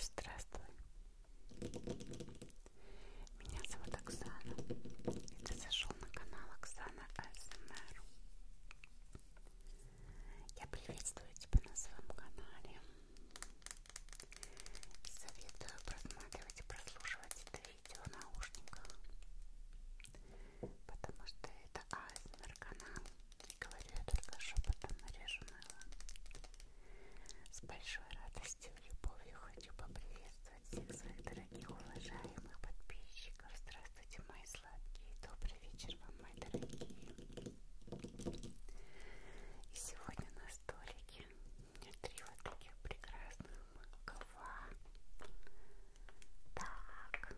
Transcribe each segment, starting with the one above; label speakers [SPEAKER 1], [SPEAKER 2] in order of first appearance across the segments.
[SPEAKER 1] Здравствуй. Меня зовут Оксана. И ты зашел на канал Оксана АСМР. Эм Я приветствую тебя на своем канале. И советую просматривать и прослушивать это видео в наушниках. Потому что это АСМР эм канал. Говорю я только шепотом, режу мыло. С большой радостью и любовью хочу поприветствовать всех своих дорогих, уважаемых подписчиков. Здравствуйте, мои сладкие. Добрый вечер вам, мои дорогие. И сегодня на столике у меня три вот таких прекрасных макова. Так.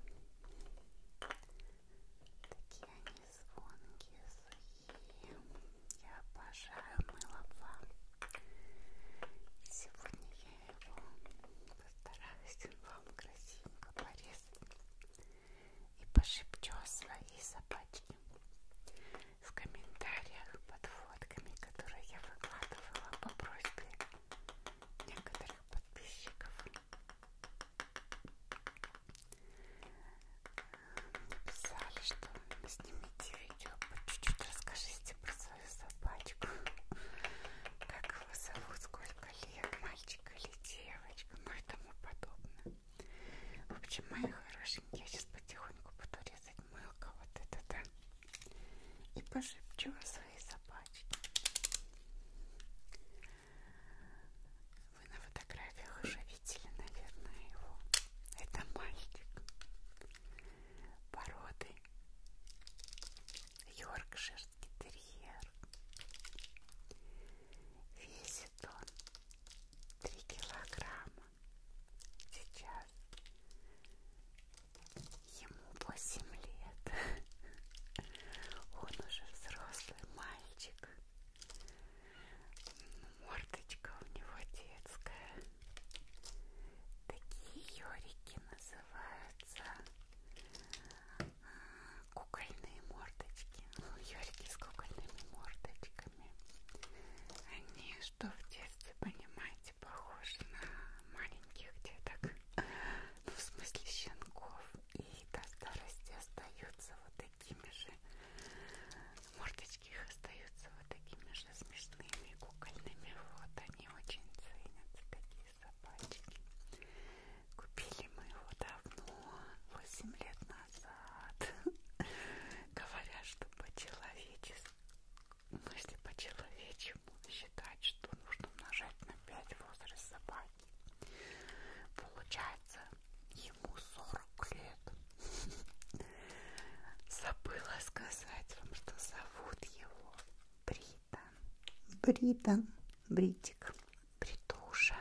[SPEAKER 1] Такие они звонкие, сухие я обожаю мыло вам. Сегодня я его постараюсь вам красивенько порезать и пошепчу свои собачки в комментариях под фотками, которые я выкладывала по просьбе некоторых подписчиков. Написали, что снимите видео по чуть-чуть расскажите про свою собачку. Как его зовут, сколько лет, мальчик или девочка, ну и тому подобное. В общем, мои хорошенькие, я сейчас потихоньку буду резать мылко вот это, да, и пошепчу о своей собачке. Вы на фотографиях уже видели, наверное, его. Это мальчик породы Йоркширский терьер. Весит он 3 килограмма. Сейчас ему 8 лет. Он уже взрослый мальчик. Мордочка у него детская. Такие ёрики называются. Кукольные мордочки. Ну, ёрики с кукольными мордочками. Они, что в детстве, понимаете, похожи на маленьких деток. Ну, в смысле щенков. И до старости остаются вот такими же. Мордочки их остаются вот такими же смешными, кукольными. Вот они очень ценятся, такие собачки. Купили мы его давно, 8 лет назад. Говорят, что по-человечески, если по-человечему считать, что нужно умножать на 5 возраст собаки, Получается, ему 40 лет. Забыла сказать вам, что зовут его Британ. Британ. Бритик. Бритуша.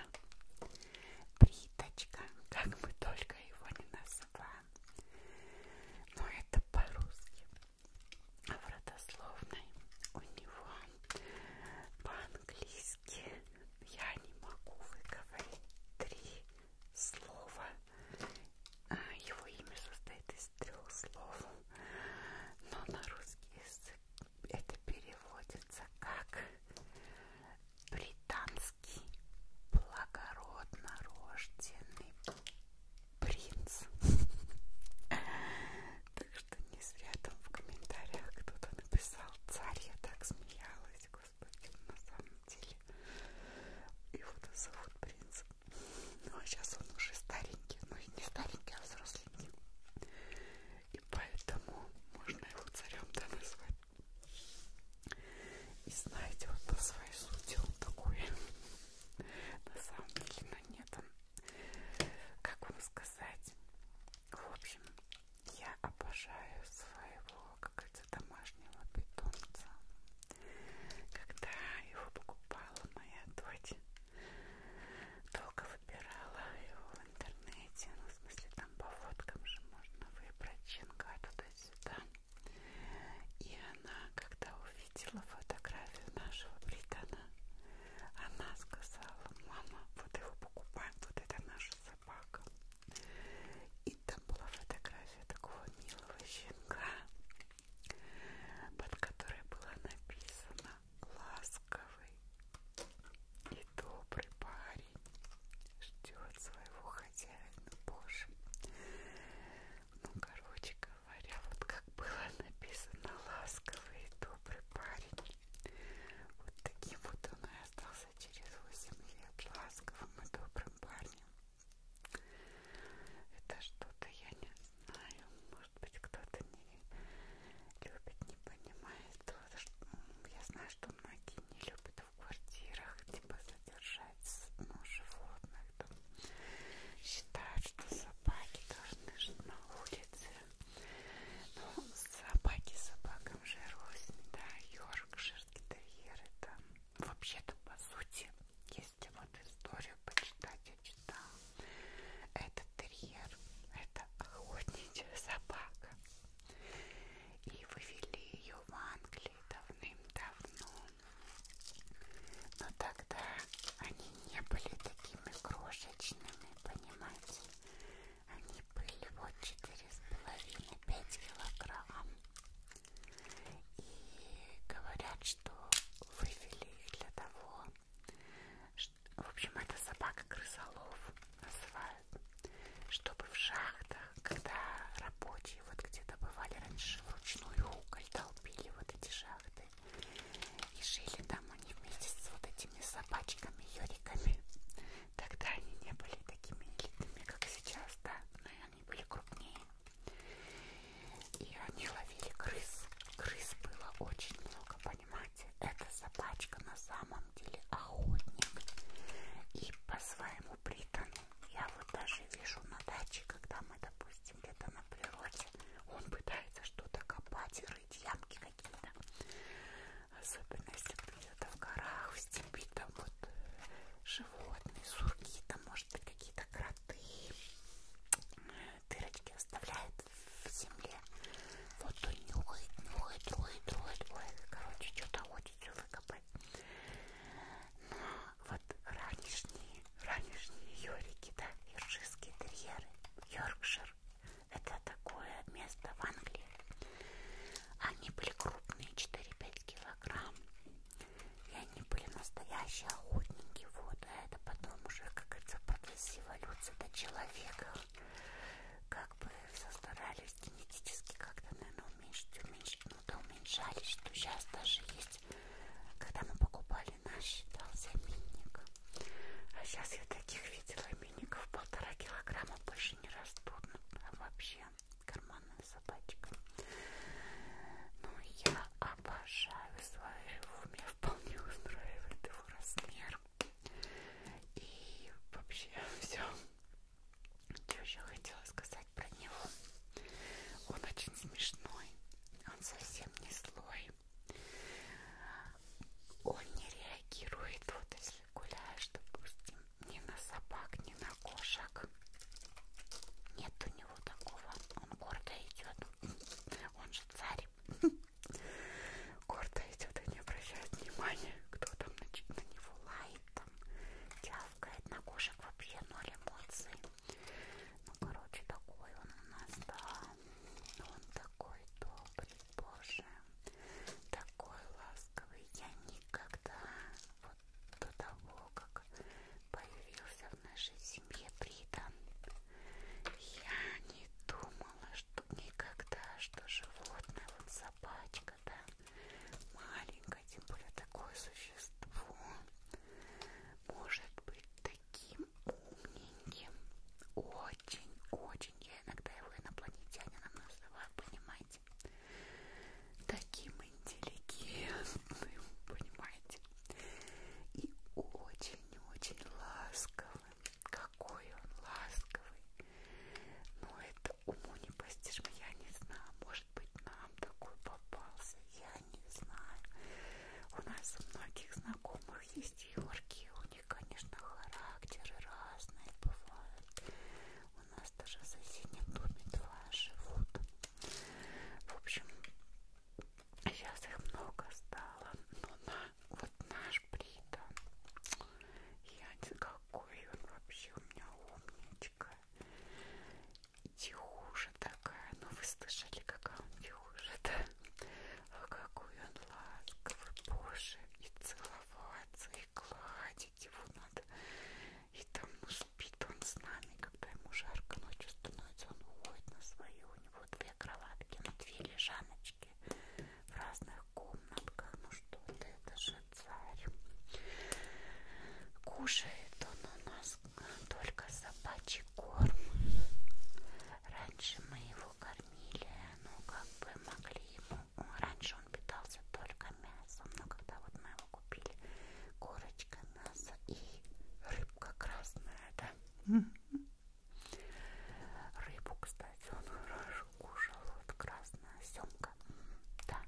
[SPEAKER 1] Бриточка. Как мы только его не называем. Но это по-русски. А в родословной у него по-английски сказки я не могу выговорить три слова. А, его имя состоит из трех слов, но на русский язык это переводится как британский благородно рожденный принц. Так что не зря там в комментариях кто-то написал царь, я так смеялась сказать, господи, на самом деле. Его вот зовут принц. Ну а сейчас он уже старенький, ну и не старенький, а взросленький. И поэтому можно его царем-то назвать. И знаете, вот по своей сути он такой. На самом деле, но нет он. Как вам сказать? В общем, я обожаю своего, как это, домашнего питомца. Когда его покупала моя дочь, долго выбирала его в интернете. Ну, в смысле, там по фоткам же можно выбрать щенка туда-сюда. И она, когда увидела фотографию нашего Британа, она сказала, мама, вот его покупаем, вот это наша собака. И там была фотография такого милого щенка, под которой было написано «Ласковый и добрый парень ждет своего хозяина, Боже». Ну, короче говоря, вот как было написано «Ласковый и добрый парень», вот таким вот он и остался оказался через 8 лет ласковым и добрым парнем. Это что-то я не знаю. Может быть, кто-то не любит, не понимает. Я знаю, что многие не любят в квартирах типа задержать ну, животных. Там. Считают, что собаки должны жить на улице. Ну, собаки собакам же рознь, да, Йоркшир, Терьер, это вообще-то, по сути, если вот историю почитать, я читала, это терьер, это охотничья собака, и вывели ее в Англии давным-давно, но тогда они не были такими крошечными, понимаете, они были вот 4,5-5 килограмм. И говорят, что вывели для того, что, в общем, это собака крысолов называют, чтобы в шахтах, когда рабочие вот где добывали раньше вручную уголь, толпили вот эти шахты и жили там они вместе с вот этими собачками, Юриками. Тогда они не были такими элитными, как сейчас, да, но они были крупнее. И они ловили крыс. Крыс было очень много, понимаете? Эта собачка на самом деле охотник. И по своему притону, я вот даже вижу на даче, когда мы, допустим, где-то на природе, он пытается что-то копать и рыть ямки какие-то. Особенно если где-то в горах, в степи, там вот э, животные, сурки, там может быть какие-то кроты, дырочки оставляют в земле. Вот он нюхает, нюхает, троит, троит, ой, короче, что-то хочет все выкопать. Но ну, вот ранешние, ранешние Йорики, да, Йоркширские терьеры, Йоркшир, это такое место в Англии. Они были крупные, 4-5 килограмм. И они были настоящие охотники. Вот, а это потом уже, как говорится, процессе эволюции до человека. Как бы состарались генетически как-то, наверное, уменьшить, уменьшить. Ну да, уменьшались, что сейчас даже есть. Когда мы покупали наш, дал заменник. А сейчас я таких видела клубников полтора килограмма больше не растут. А вообще карманная собачка. Ну, я обожаю своего. Меня вполне устраивает его размер. И вообще все. Что еще хотела сказать про него? Он очень смешной. Он совсем не злой. Он не реагирует. Вот если гуляешь, допустим, ни на собак, ни на кошек. Нет у него такого. Он гордо идет. Он же царь. Гордо идет и не обращает внимания, кто там на, на него лает, там тявкает. На кошек вообще ноль эмоций. Ну, короче, такой он у нас, да. Он такой добрый. Боже, такой ласковый я никогда вот до того, как появился в нашей семье Бридан, я не думала, что никогда, что животное, вот собачка, да, маленькое, тем более такое существо, может быть таким умненьким, очень-очень очень я иногда его инопланетянином называю, понимаете? Таким интеллигентным, понимаете? И очень-очень ласковым. Какой он ласковый. Но это уму не постижимо, я не знаю. Может быть, нам такой попался, я не знаю. У нас у многих знакомых есть Георгий, он них, конечно, характеры разные бывают. У нас даже в соседнем доме два живут. В общем, сейчас их много стало. Но на, вот наш Брита, я какой он вообще у меня умничка. Тихуша такая. Ну вы слышали, какая он тихуша, да? А какой он ласковый, боже, и целовался целоваться и гладить его надо. И там ну, спит он с нами, когда ему жарко ночью становится, он уходит на свою. У него две кроватки, ну две лежаночки в разных комнатках. Ну что ты, это же царь. Кушает он у нас только собачий корм. Раньше мы его кормили, ну как бы могли ему раньше он питался только мясом, но когда вот мы его купили, курочка, мясо и рыбка красная, да? Рыбу, кстати, он хорошо кушал, вот красная семка, да.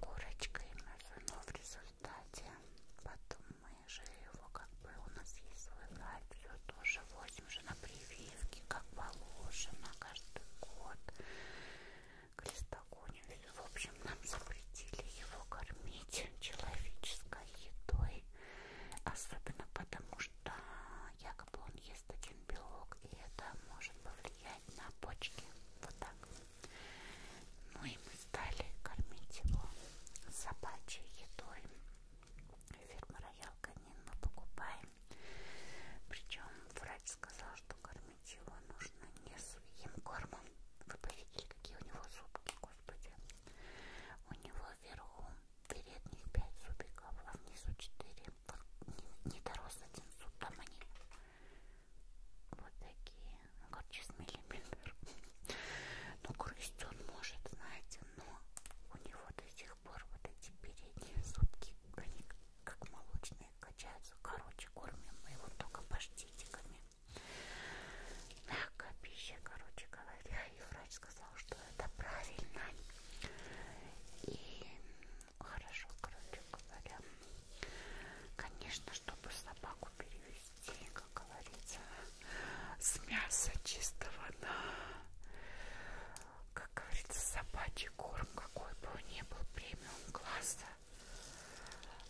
[SPEAKER 1] Курочка и мясо, но в результате потом мы же его как бы, у нас есть свой гайд, все тоже восемь же на прививке, как положено, каждый год. К листогонию, в общем, нам запретили его кормить человеческой едой. Особенно потому, что якобы он ест один белок, и это может повлиять на почки. Вот так. Ну и мы стали кормить его собачьей едой. Фирма Роял Канин мы покупаем причем врач сказал, что кормить его нужно не сухим кормом. Вы поверите, какие у него зубки, господи. У него вверху передних 5 зубиков, а внизу 4. Вот не, не дорос один зуб, там они вот такие, ну, короче, с миллиметр. Ну, грызть он может, знаете, но у него до сих сих пор вот эти передние зубки, они как молочные качаются. Короче, кормим мы его только паштетиками. Мягкая пища, короче говоря. И врач сказал, что это правильно. И хорошо, короче говоря. Конечно, чтобы собаку перевести, как говорится, с мяса чистого на как говорится, собачий корм, какой бы он ни был премиум класса.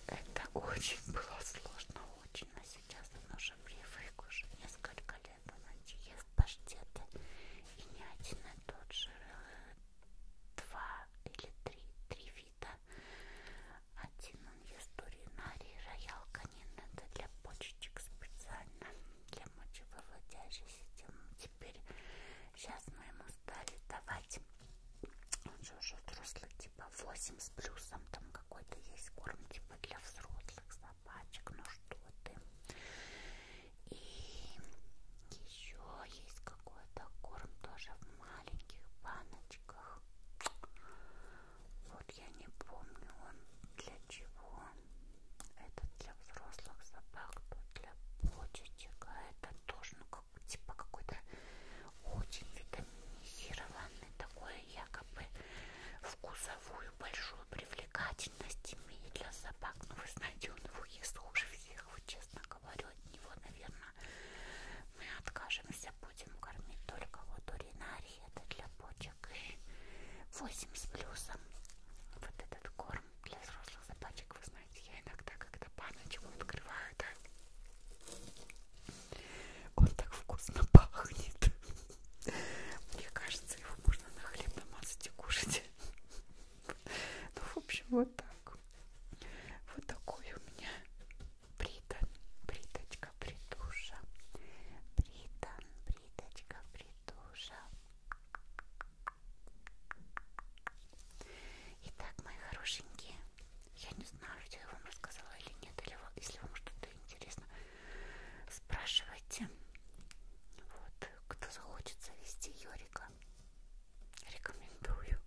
[SPEAKER 1] Это очень было сложно, очень. А сейчас он уже привык, уже несколько лет он ест паштеты. И не один и а тот же, э, два или три, три вида. Один он ест уринари, роял канин, это для почечек специально для мочевыводящей системы. Теперь сейчас мы ему стали давать, он же уже взрослый, типа 8 с плюсом, там какой-то есть корм типа для взрослых собачек, ну что ты. И еще есть какой-то корм тоже в маленьких баночках. Вот я не помню, он для чего. Это для взрослых собак, то для почечек. А это тоже, ну, как, типа какой-то очень витаминизированный, такой якобы вкусовую большую привлекательность имеет для собак. Ну, вы знаете, он его ест хуже всех, вот честно говорю, от него, наверное, мы откажемся, будем кормить только вот уринарий, это для почек и 8 с плюсом вот этот корм там для взрослых собачек, вы знаете, я иногда когда баночку открываю, да, он так вкусно пахнет. Мне кажется, его можно на хлеб намазать и кушать. Ну, в общем, вот так. Вот такой у меня британ, бриточка, бритуша. Британ, бриточка, бритуша. Итак, мои хорошенькие, я не знаю, что я вам рассказала или нет, или если вам что-то интересно, спрашивайте. Вот, кто захочет завести Йорика, рекомендую.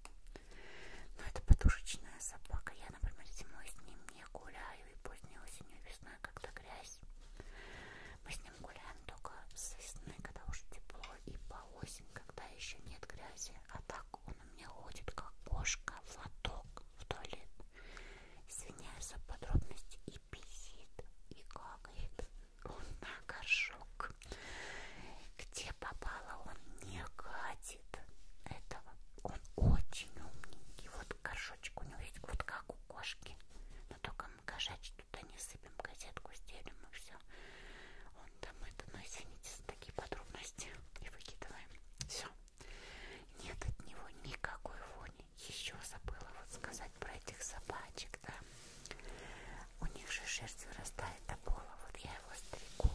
[SPEAKER 1] Но это подушечная собака. Я, например, зимой с ним не гуляю и поздней осенью и весной, когда грязь. Мы с мы гуляем только с весны, когда уже тепло, и по осень, когда еще нет грязи. А так он у меня ходит, как кошка, в лоток, в туалет. Извиняюсь за подробности. И писит, и какает. Он на горшок. Где попало, он не катит этого. Он очень умненький. Вот горшочек у него есть, вот как у кошки. Но только мы кошачьи туда не сыпем, газетку стелим и все. Он там это, ну извините за такие подробности. И выкидываем. Все. Нет от него никакой вони. Еще забыла вот сказать про этих собачек, да. У них же шерсть вырастает до пола. Вот я его стреку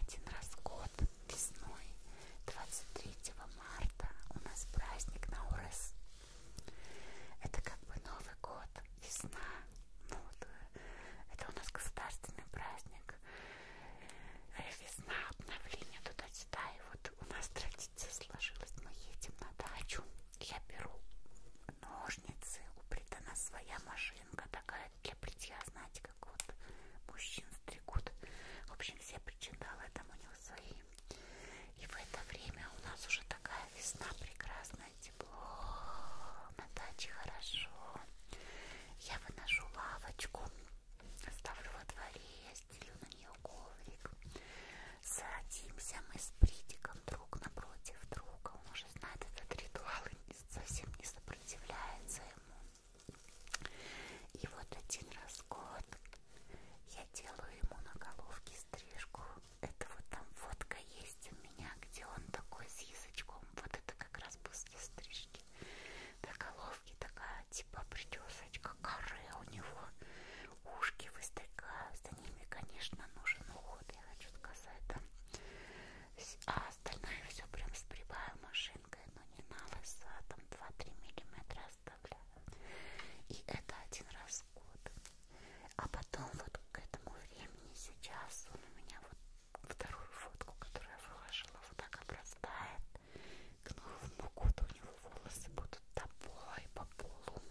[SPEAKER 1] один раз в год весной 23 марта у нас праздник на ОРС это как бы Новый год, весна. Ну, вот, это у нас государственный праздник. Э, весна, обновление туда-сюда. И вот у нас традиция сложилась. Мы едем на дачу. Я беру ножницы. У Британа своя машинка такая для бритья. Знаете, как вот мужчин стригут. В общем, все причиндалы там у него свои и в это время у нас уже такая весна прекрасная, тепло, на даче хорошо. Я выношу лавочку, ставлю во дворе, я стелю на нее коврик. Садимся мы с притиком друг напротив друга. Он уже знает этот ритуал и совсем не сопротивляется ему. И вот один раз в год я я делаю ему на головке стрижку. Это вот там фотка есть у меня, где он такой с язычком. Вот это как раз после стрижки. На головке такая типа причесочка, коры у него. Ушки выстрекают. За ними, конечно, нужен уход, я хочу сказать. Да? А остальное все прям сбриваю машинкой, но не на лысо, а там 2-3 миллиметра оставляю. И это один раз в год. А потом вот к этому времени сейчас он у меня вот вторую фотку, которую я выложила, вот так обрастает. К новому году у него волосы будут тобой по полу.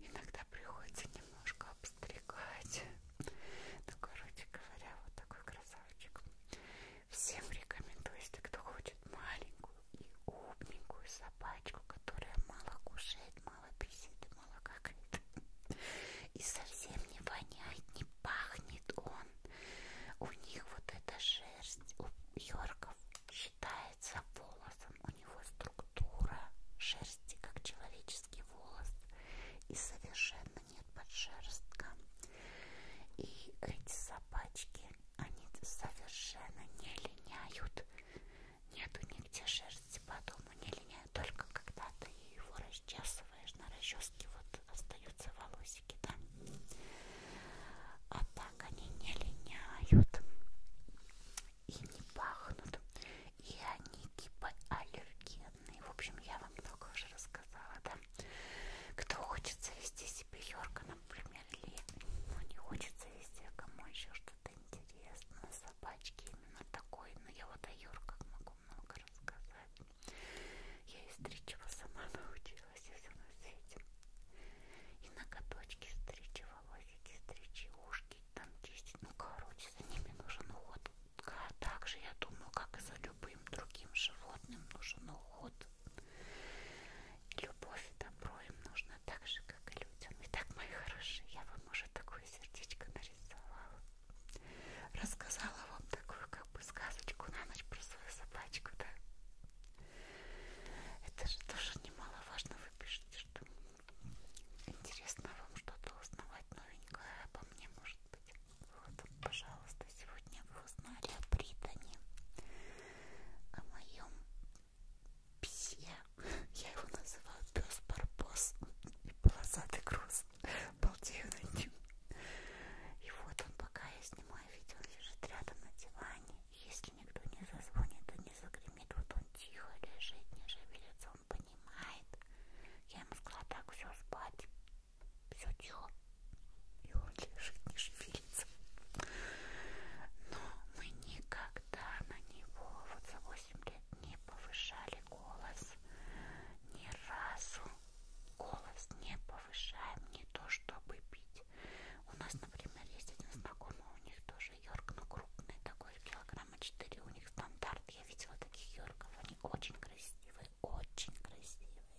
[SPEAKER 1] Иногда приходится немножко обстригать. Ну, короче говоря, вот такой красавчик. Всем рекомендую, если кто хочет маленькую и умненькую собачку, которая мало кушает, мало писит, мало какает. И совсем не воняет, не пахнет он. У них вот эта шерсть, у Йорков считается волосом. У него структура шерсти, как человеческий волос. И совершенно нет подшерстка. И эти собачки, они совершенно не линяют. Нету нигде шерсти по дому не линяет, только когда ты его расчесываешь на расческе, вот остаются волосики, да? А так они не линяют и не пахнут, и они гипоаллергенные. Типа В общем, я вам много уже рассказала, да? Кто хочет завести себе Йорка, например, Мерли, но не хочется вести, кому еще что-то интересно. Собачки именно такой, но я вот о Юрках могу много рассказать. Я из Стричева сама научилась, и все на свете. И ноготочки стричь, и волосики стричь, и ушки там чистить. Ну, короче, за ними нужен уход. А также, я думаю, как и за любым другим животным нужен уход. Любовь и добро им нужно так же, как и людям. Итак, мои хорошие, я вам уже такое сердечко нарисовала. Рассказала вам такую как бы сказочку на ночь про свою собачку, да? Это же тоже немаловажно, вы пишете, что интересно вам что-то узнавать новенькое обо мне, может быть. Вот, пожалуйста, сегодня вы узнали о Британе, о моем Псье, я его называю пес барбос и полосатый груз, балдею над ним. И вот он, пока я снимаю видео, лежит рядом на диване. Если никто не зазвонит и не загремит, вот он тихо лежит, не шевелится, он понимает. Я ему сказала, так, все, спать, все тихо. И он лежит, не шевелится обидится. Но мы никогда на него вот за 8 лет не повышали голос. Ни разу голос не повышаем, не то чтобы бить. У нас, например, есть один знакомый, у них тоже Йорк, но крупный такой, килограмма 4, у них стандарт. Я видела таких Йорков, они очень красивые, очень красивые.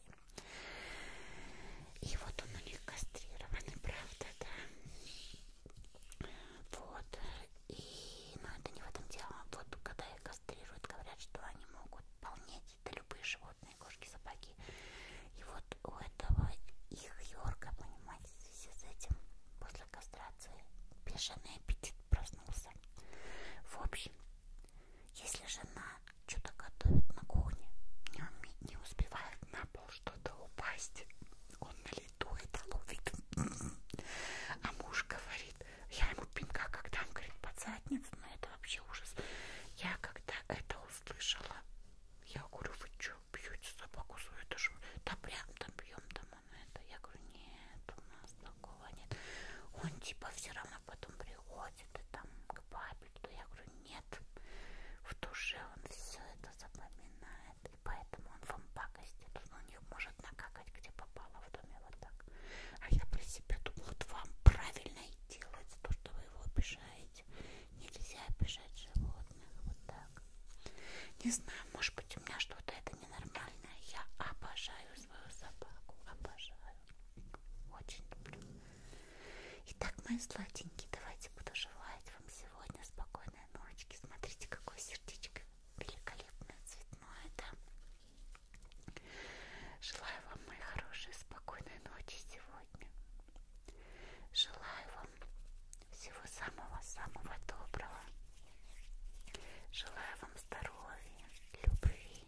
[SPEAKER 1] И вот он у них кастрированный, правда, да? Вот. И, но это не в этом дело. Вот когда их кастрируют, говорят, что они могут полнеть. Это любые животные, кошки, собаки. И вот у этого их Йорка, понимаете, в связи с этим после кастрации бешеный аппетит проснулся. В общем, если жена что-то готовит на кухне, не, уме... не успевает на пол что-то упасть, он на лету это а ловит. А муж говорит, я ему пинка, когда он говорит, под задницу, но ну, это вообще ужас. Я когда это услышала, я говорю, вы что, бьете собаку свою? Это же, да прям там бьем, там он это. Я говорю, нет, у нас такого нет. Он типа все равно потом приходит и там к бабе, то я говорю, нет. В душе он все это запоминает, и поэтому он вам пакостит. Он ну, у них может накакать, где попало в доме, вот так. А я при себе думаю, вот вам правильно и делать то, что вы его обижаете. Нельзя обижать животных, вот так. Не знаю, может быть у меня что-то это ненормальное. Я обожаю свою собаку, обожаю. Очень люблю. Итак, мои сладенькие, давайте буду желать вам сегодня спокойной ночки. Смотрите, какое сердечко великолепное, цветное, да? Желаю вам, мои хорошие, спокойной ночи сегодня. Желаю вам всего самого-самого доброго. Желаю вам здоровья, любви,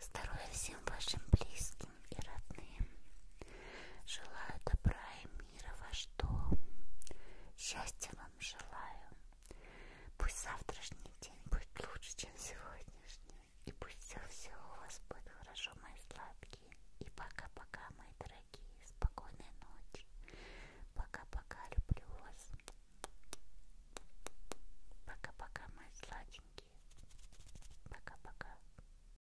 [SPEAKER 1] здоровья всем вашим близким близким и родным. Желаю добра и мира ваш дом. Счастья вам желаю. Пусть завтрашний день будет лучше, чем сегодняшний. И пусть все-все у вас будет хорошо, мои сладкие. И пока-пока, мои дорогие. Спокойной ночи. Пока-пока, люблю вас. Пока-пока, мои сладенькие. Пока-пока.